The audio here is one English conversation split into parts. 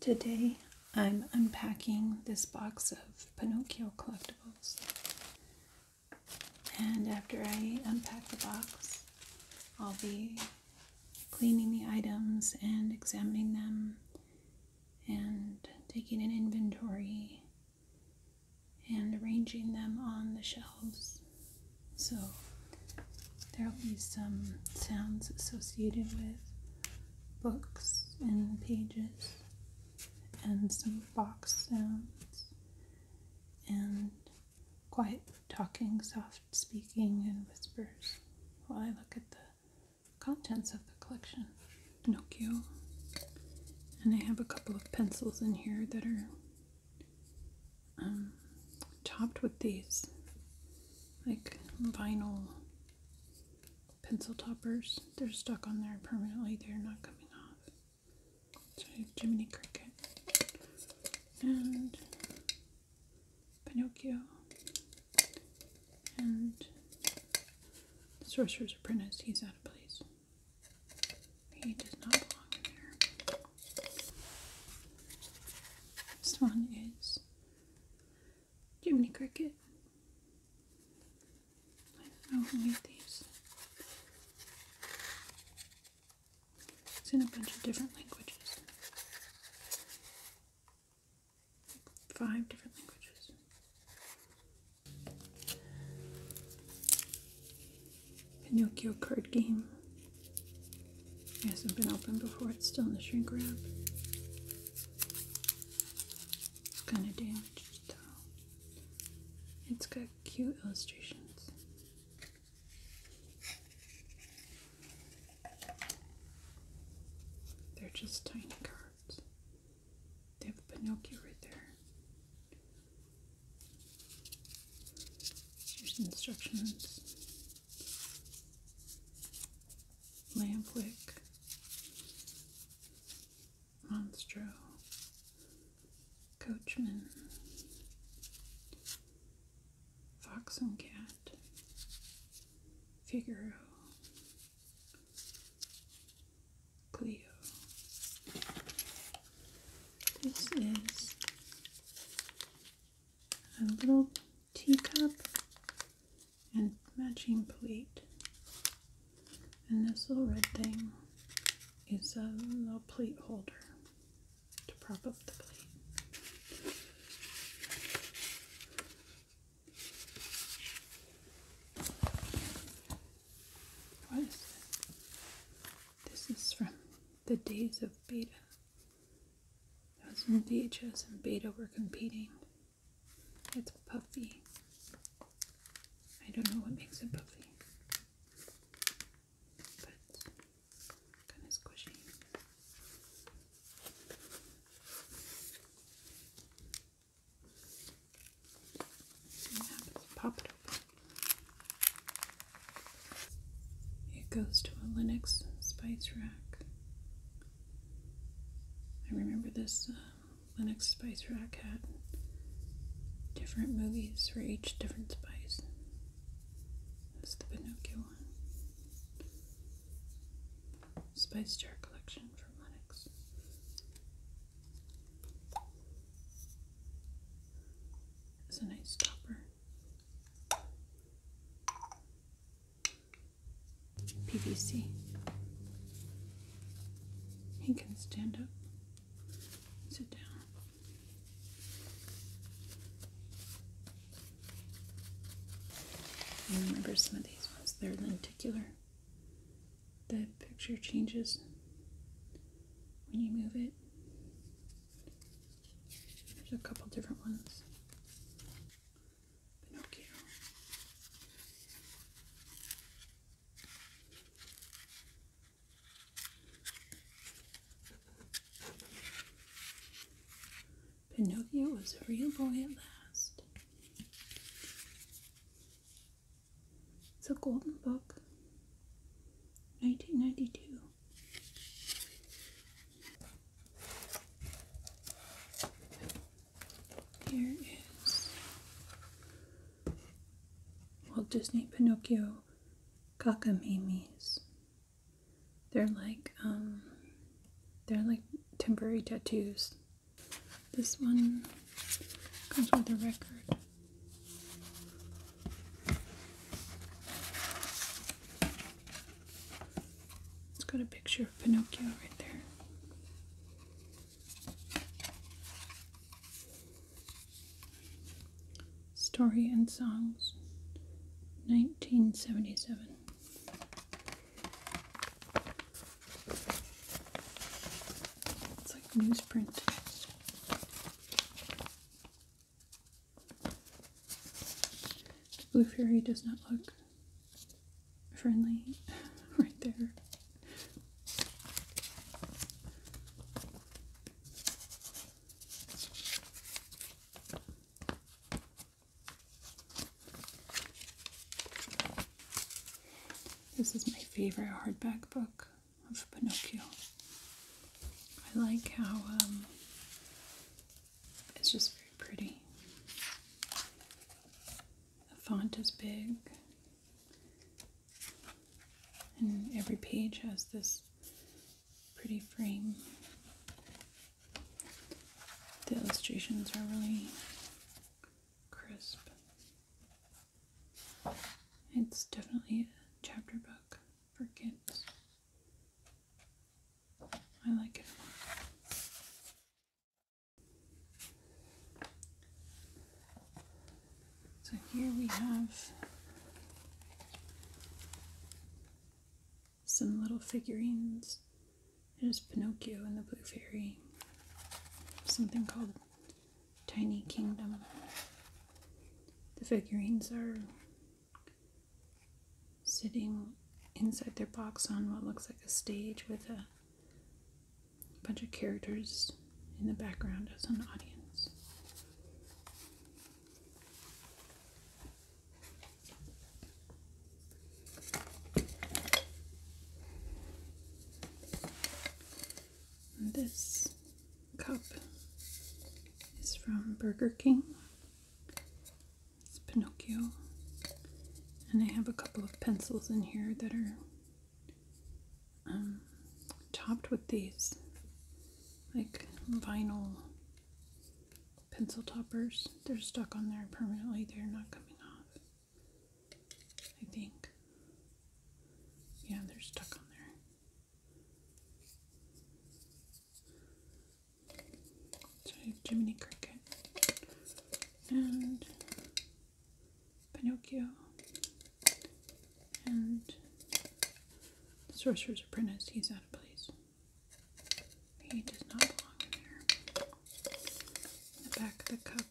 Today I'm unpacking this box of Pinocchio collectibles. And after I unpack the box, I'll be cleaning the items and examining them and taking an inventory and arranging them on the shelves. So there'll be some sounds associated with books and pages and some box sounds and quiet talking, soft speaking, and whispers while I look at the contents of the collection. Pinocchio. And I have a couple of pencils in here that are um, topped with these like vinyl pencil toppers. They're stuck on there permanently. They're not coming off. So Jiminy Cricket and Pinocchio and the Sorcerer's Apprentice. He's out of place. He does not belong in there. This one is Jiminy Cricket. I don't know these. It's in a bunch of different languages. Five different languages. Pinocchio card game. It hasn't been opened before, it's still in the shrink wrap. It's kind of damaged though. It's got cute illustrations. They're just tiny cards. They have Pinocchio right there. Here's instructions. Lampwick, Monstro, Coachman, Fox and Cat, Figaro, Cleo. This is a little teacup and matching plate. And this little red thing is a little plate holder to prop up the plate. What is this? This is from the days of beta. That was when VHS and beta were competing. It's puffy. I don't know what makes it puffy, but kind of squishy. Pop it open. It goes to a Linux spice rack. I remember this uh, Linux Spice Rack had different movies for each different spice. That's the Pinocchio one. Spice Jar Collection from Linux. It's a nice topper. PVC. He can stand up, sit down. I remember some of these ones, they're lenticular. The picture changes when you move it. There's a couple different ones. Pinocchio. Pinocchio was a real boy at last. It's a golden book, 1992. Here is Walt Disney Pinocchio Kakamimis. They're like um, they're like temporary tattoos. This one comes with a record. It's got a picture of Pinocchio right there. Story and Songs, 1977. It's like newsprint. The Blue Fairy does not look friendly right there. This is my favorite hardback book of Pinocchio. I like how um, it's just very pretty. The font is big. And every page has this pretty frame. The illustrations are really crisp. It's definitely a chapter book for kids. I like it a so here we have some little figurines. There's Pinocchio and the Blue Fairy. Something called Tiny Kingdom. The figurines are sitting inside their box on what looks like a stage with a a bunch of characters in the background as an audience. this cup is from Burger King. It's Pinocchio. And I have a couple of pencils in here that are um, topped with these like vinyl pencil toppers. They're stuck on there permanently. They're not coming off. I think. Yeah, they're stuck on there. So Jiminy Cricket and Pinocchio and the Sorcerer's Apprentice. He's out of place. He does not belong in there. In the back of the cup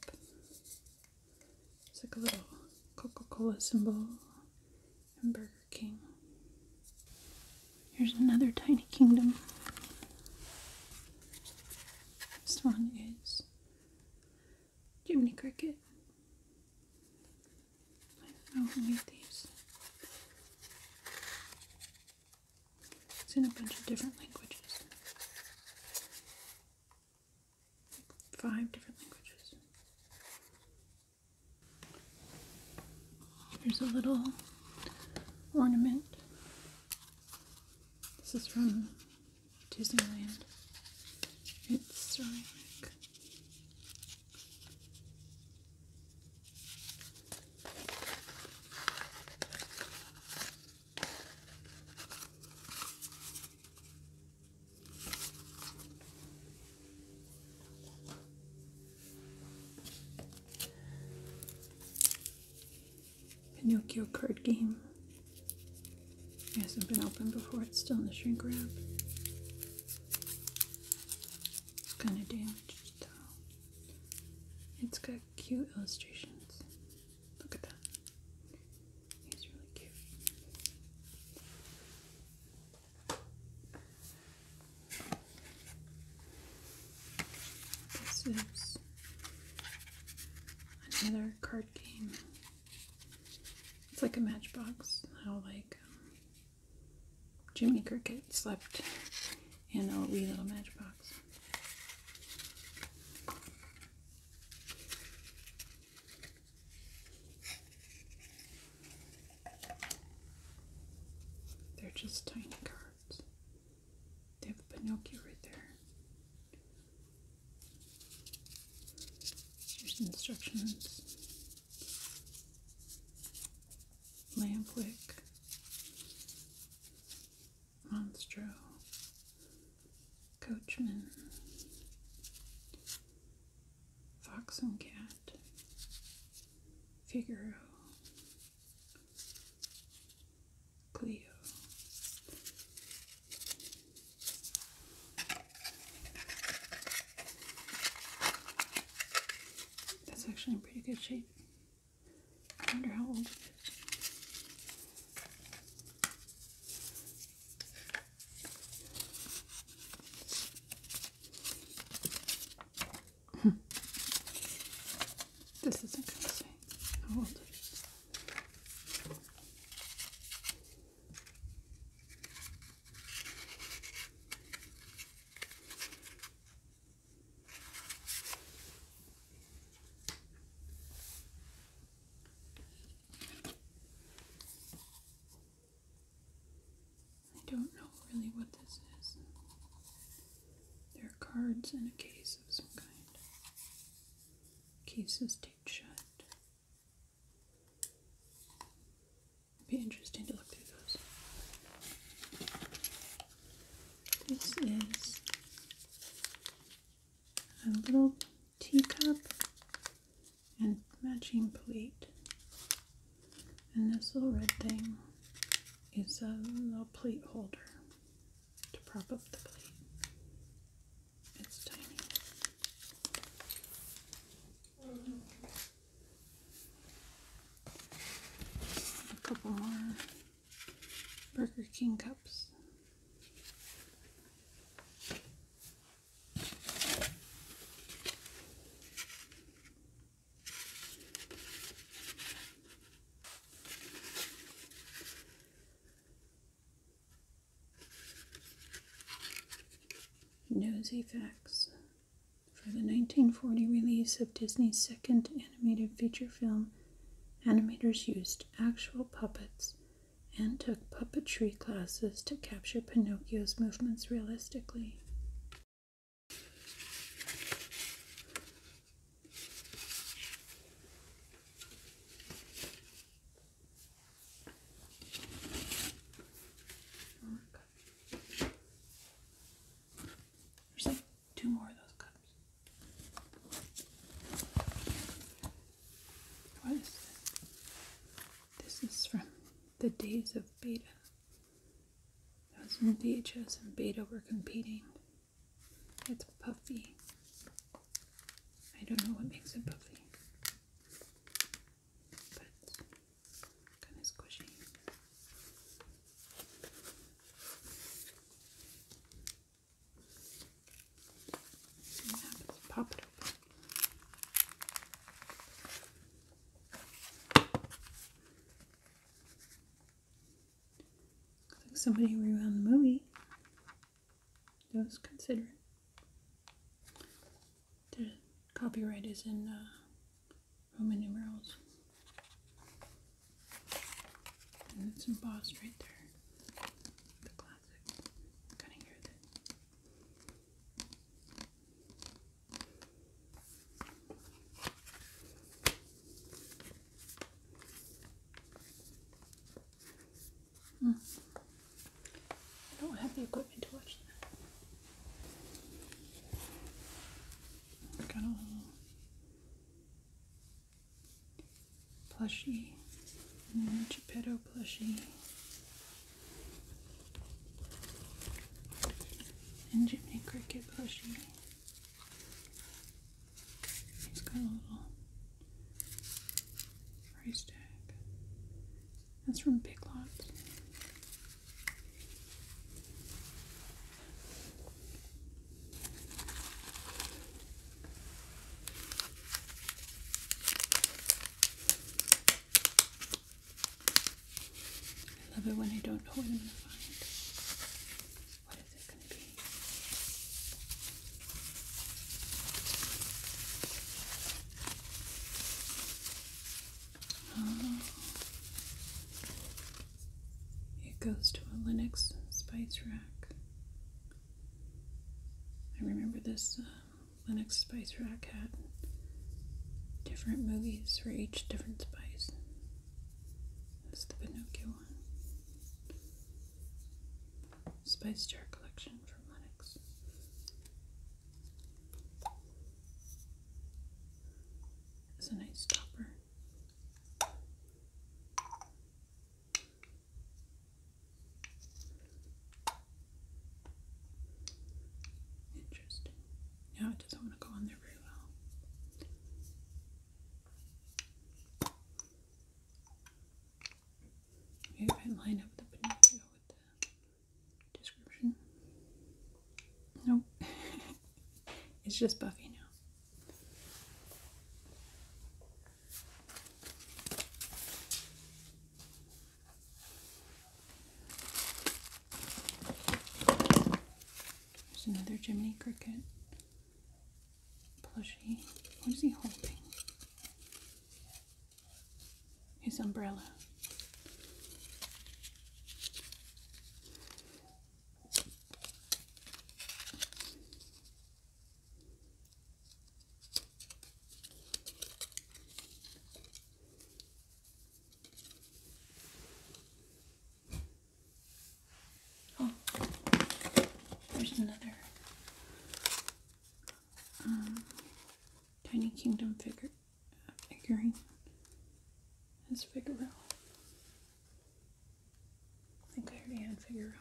it's like a little Coca-Cola symbol and Burger King. Here's another tiny kingdom. This one is Jiminy Cricket. I don't know who made these. It's in a bunch of different languages. five different languages. There's a little ornament this is from Disneyland. It's ceramic. Pinocchio card game. It hasn't been opened before, it's still in the shrink wrap. It's kind of damaged though. It's got cute illustrations. Look at that. He's really cute. This is another card game. It's like a matchbox, how like um, Jimmy Cricket slept in a wee little matchbox. They're just tiny cards. They have a Pinocchio right there. There's instructions. Lampwick, Monstro. Coachman. Fox and Cat. Figaro. Cleo. That's actually in pretty good shape. I wonder how old it is. Hmm. this isn't going to say how old it is. I don't know really what this is. There are cards in a case of some kind cases taped shut. It'd be interesting to look through those. This is a little teacup and matching plate. And this little red thing is a little plate holder to prop up the plate. It's tiny. A couple more Burger King cups. Nosy Facts for the 1940 release of Disney's second animated feature film, animators used actual puppets and took puppetry classes to capture Pinocchio's movements realistically. There's like two more of those cups. What is this? This is from the days of beta. Those was when VHS and beta were competing. It's puffy. I don't know what makes it puffy. But kind of squishy. See open. Looks like somebody rewound the movie. Those consider it. The copyright is in uh, Roman numerals. And it's embossed right there. The classic. Kind of hear I don't have the equipment to watch that. Got a little plushie, and then a Geppetto plushie. And Jimmy Cricket plushy. He's got a little price tag. That's from Big Lots. I love it when I don't know what I'm gonna find it goes to a Linux spice rack. I remember this uh, Linux spice rack had different movies for each different spice. That's the Pinocchio one. Spice Jar Collection from Lennox. It's a nice topper. Interesting. Now it doesn't want to go on there very well. Maybe I line up the Pinocchio with the description. Nope. it's just Buffy now. There's another Jiminy Cricket plushie. What is he holding? His umbrella. Oh, there's another um, Tiny Kingdom figure uh, figurine. That's Figaro. I think I already had Figaro.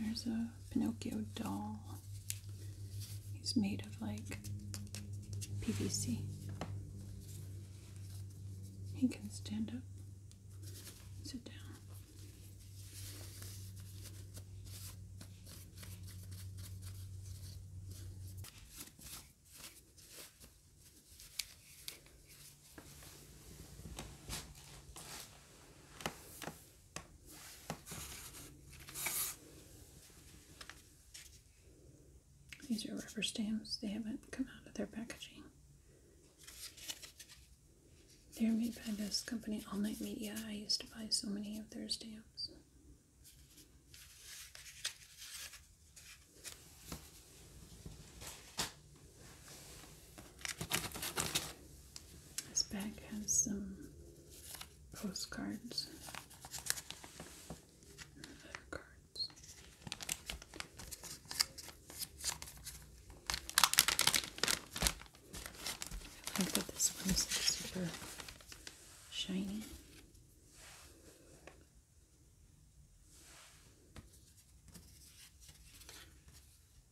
There's a Pinocchio doll. He's made of like PVC. He can stand up, sit down. These are rubber stamps. They haven't come out of their packaging. They're made by this company, All Night Media. I used to buy so many of their stamps. This bag has some postcards. I like that this one's super shiny.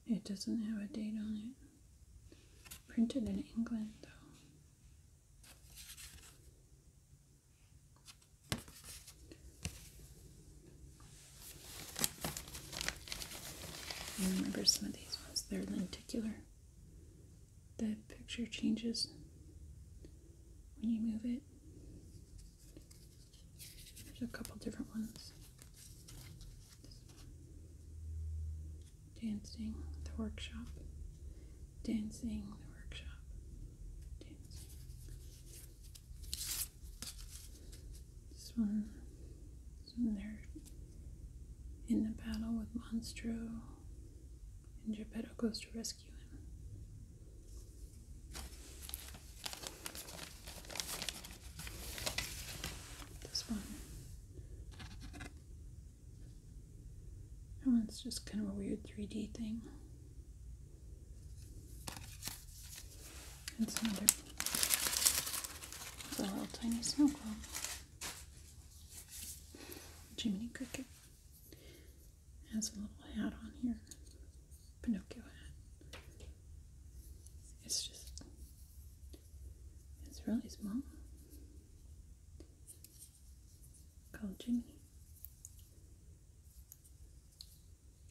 It doesn't have a date on it. Printed in England, though. I remember some of these ones, they're lenticular. The picture changes when you move it. There's a couple different ones. Dancing, the workshop. Dancing, the workshop. Dancing. This one they're in the battle with Monstro, and Geppetto goes to rescue him. This one. That one's just kind of a weird 3D thing. It's another it's a little tiny snow globe. Jiminy Cricket has a little hat on here. Pinocchio hat. It's just it's really small. Called Jiminy.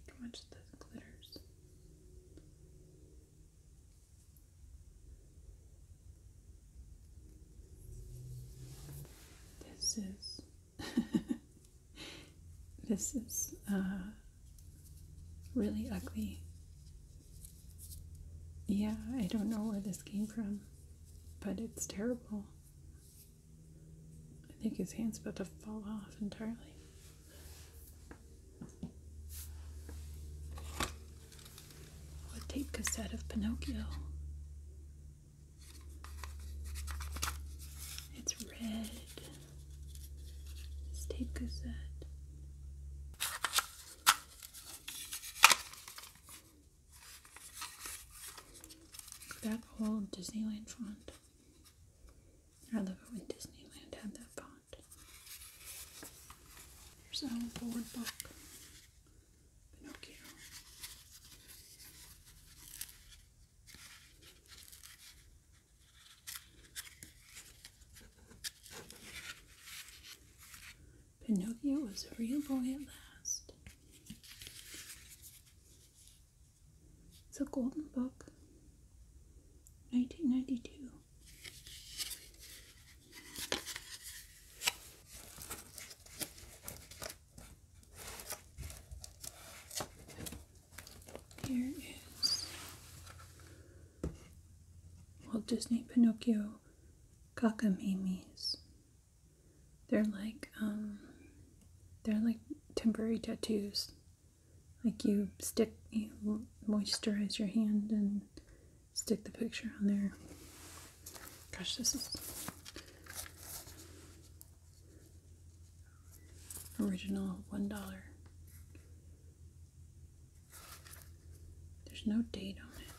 How much this glitters. This is this is uh, really ugly. Yeah, I don't know where this came from, but it's terrible. I think his hand's about to fall off entirely. Oh, a tape cassette of Pinocchio. It's red. This tape cassette. That old Disneyland font. I love it when Disneyland had that pond. There's an old board book. Pinocchio. Pinocchio was a real boy at last. It's a golden book, 1992. Here is Walt Disney Pinocchio Cockamamie's they're like um, they're like temporary tattoos. Like you stick, you moisturize your hand and stick the picture on there. Gosh, this is original one dollar. There's no date on it.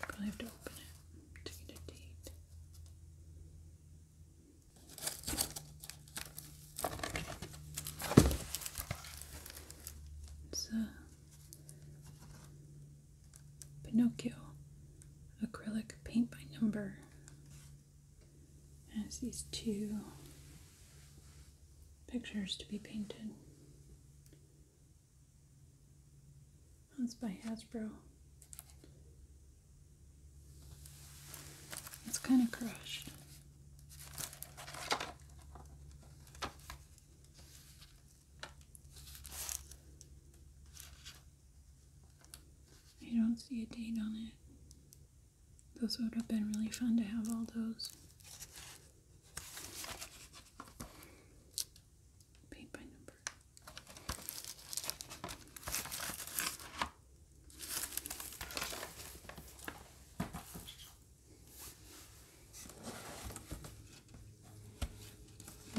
Probably have to open it to get a date. It's uh, Pinocchio acrylic paint by number. Has these two pictures to be painted. That's by Hasbro. It's kind of crushed. I don't see a date on it. Those would have been really fun to have all those. Paint by number.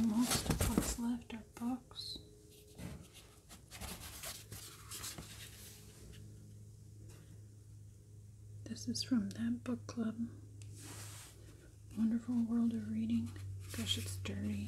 Most of what's left are books. This is from that book club. Wonderful World of Reading. Gosh, it's dirty.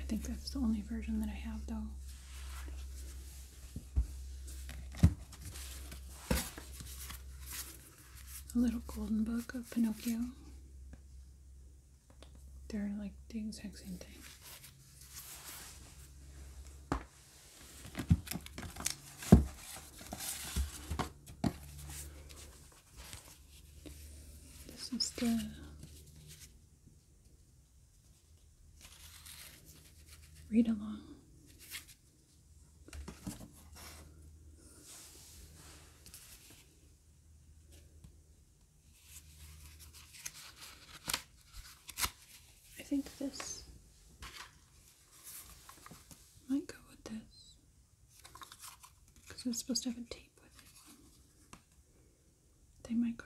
I think that's the only version that I have though. A little golden book of Pinocchio. They're like the exact same thing. This is the Read along. I think this might go with this because I'm supposed to have a tape with it. They might go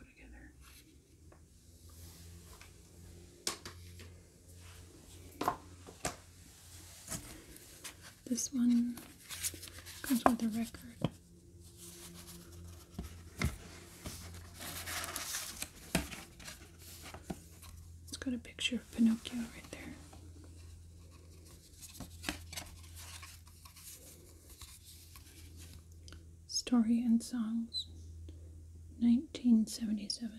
together. This one comes with a record. It's got a picture of Pinocchio right there. Story and Songs, 1977.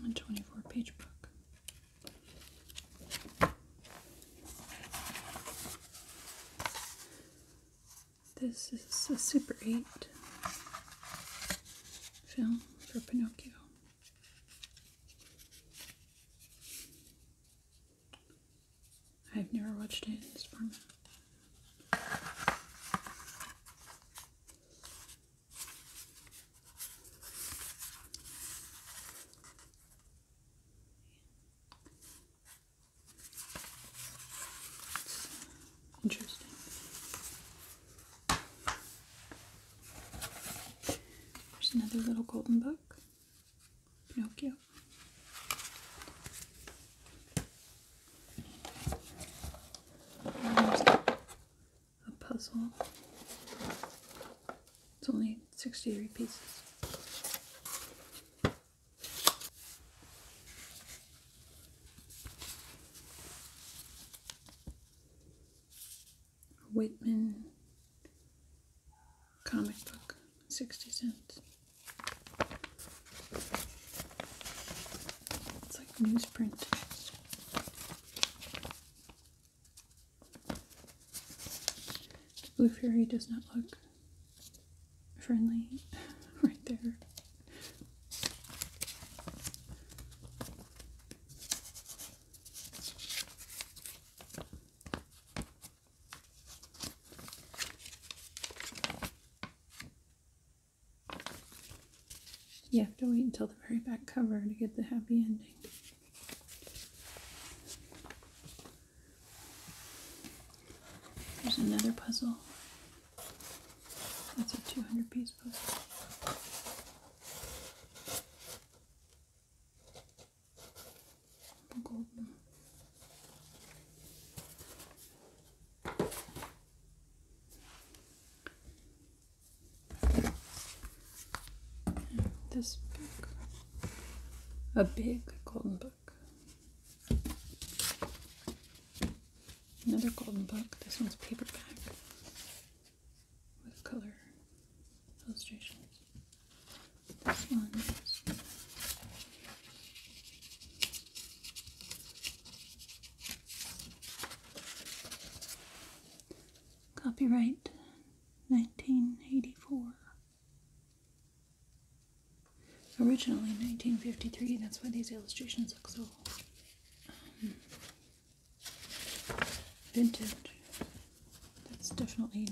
One twenty four page book. This is a Super 8 film for Pinocchio. I've never watched it in this format. Interesting. There's another little golden book. Pinocchio. There's a puzzle. It's only 63 pieces. Whitman comic book, 60 cents. It's like newsprint. The Blue fairy does not look friendly right there. You have to wait until the very back cover to get the happy ending. There's another puzzle. That's a 200 piece puzzle. Golden. This book, a big golden book. Another golden book. This one's paperback with color illustrations. This one copyright 1984. Originally 1953, that's why these illustrations look so old. Um, vintage. That's definitely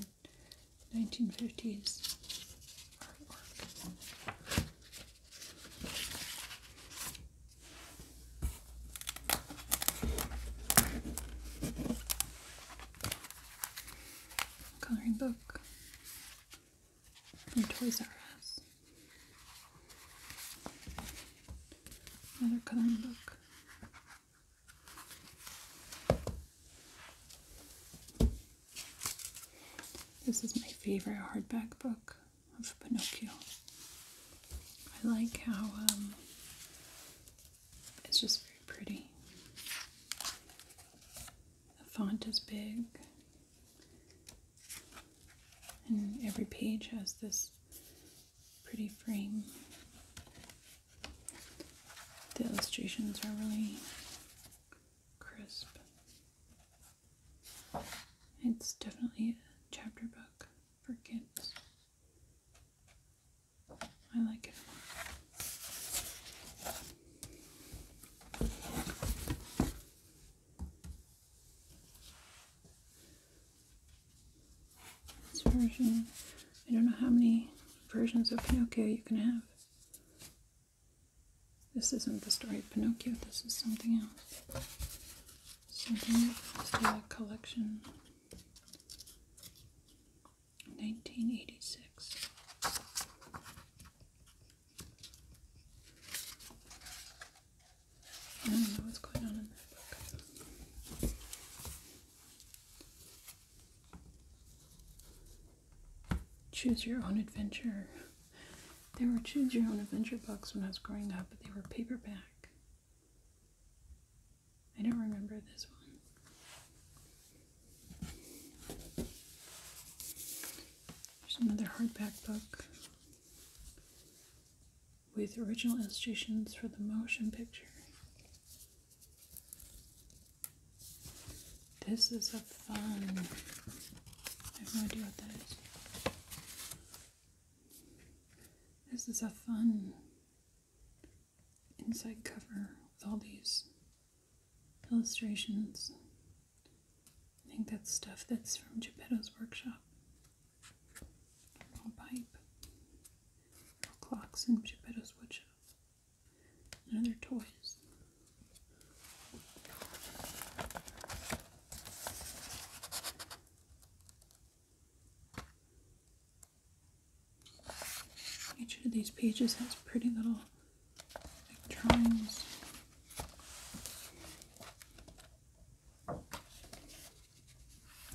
1950s Coloring book from Toys R Us. Another coloring book. This is my favorite hardback book of Pinocchio. I like how um, it's just very pretty. The font is big. And every page has this pretty frame. The illustrations are really crisp. It's definitely a chapter book for kids. I like it this version, I don't know how many versions of Pinocchio you can have. This isn't the story of Pinocchio, this is something else. Something else, collection. 1986. Choose your own adventure. There were choose your own adventure books when I was growing up, but they were paperback. I don't remember this one. There's another hardback book with original illustrations for the motion picture. This is a fun. I have no idea what that is. This is a fun inside cover with all these illustrations. I think that's stuff that's from Geppetto's workshop. Little pipe, or clocks in Geppetto's woodshop, and other toys. Each of these pages has pretty little drawings.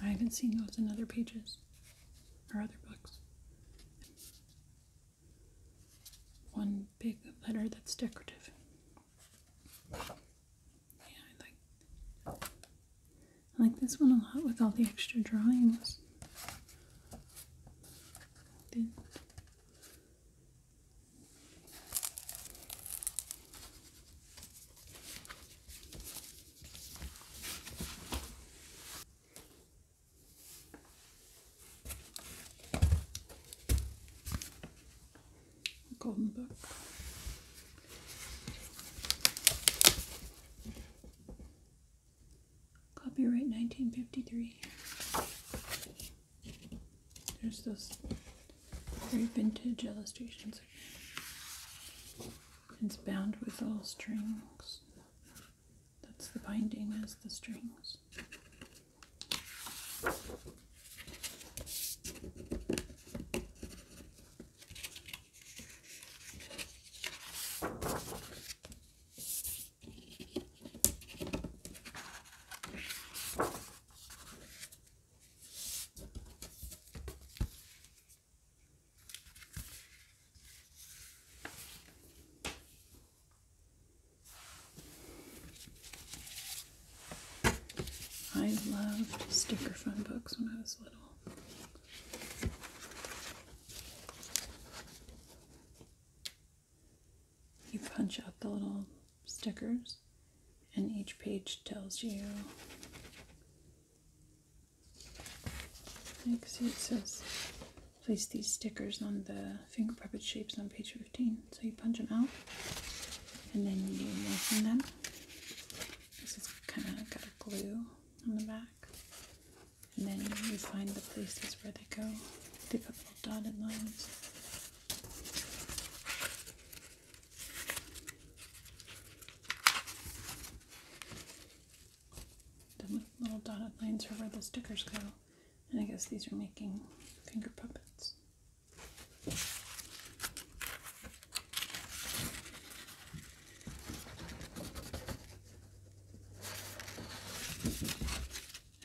I haven't seen those in other pages or other books. One big letter that's decorative. Yeah, I like I like this one a lot with all the extra drawings. Golden Book. Copyright 1953. There's those very vintage illustrations It's bound with little strings. That's the binding as the strings. I loved sticker fun books when I was little. You punch out the little stickers and each page tells you like see it says place these stickers on the finger puppet shapes on page 15 so you punch them out and then you moisten them this is kind of got a glue on the back and then you find the places where they go they have got little dotted lines the little dotted lines are where the stickers go. And I guess these are making finger puppets.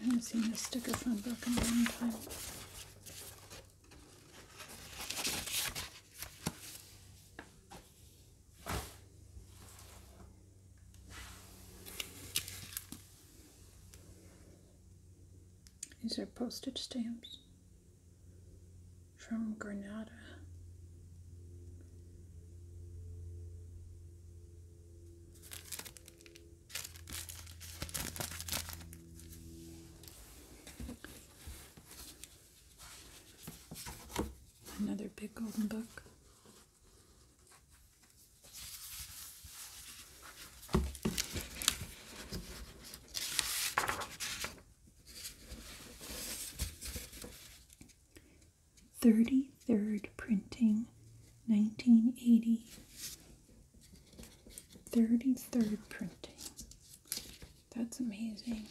I haven't seen this sticker from book in a long time. These are postage stamps from Granada. Another big golden book. Thirty third printing, nineteen eighty. Thirty third printing. That's amazing.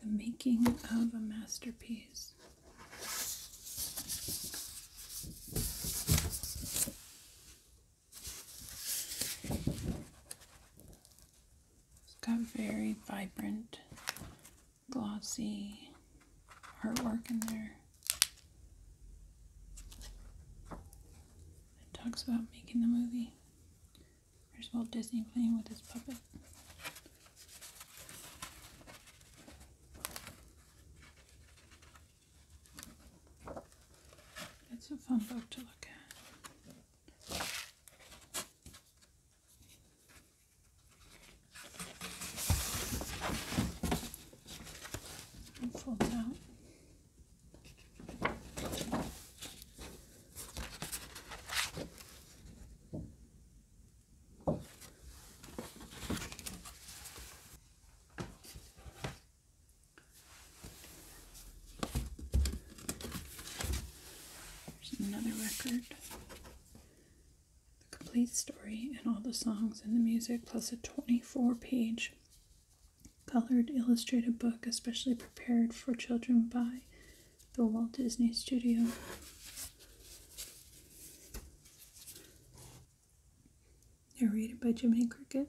The making of a masterpiece. It's got very vibrant, glossy artwork in there. It talks about making the movie. There's Walt Disney playing with his puppet. That's a fun book to look at. fold it out. There's another record. The complete story and all the songs and the music, plus a 24 page colored illustrated book, especially prepared for children by the Walt Disney Studio narrated by Jiminy Cricket.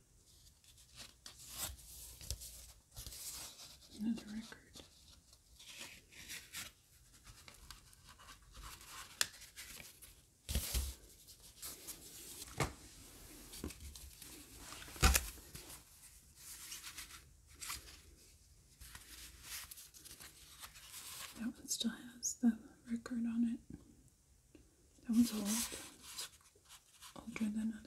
Another record. That one still has the record on it. That one's old. older than others.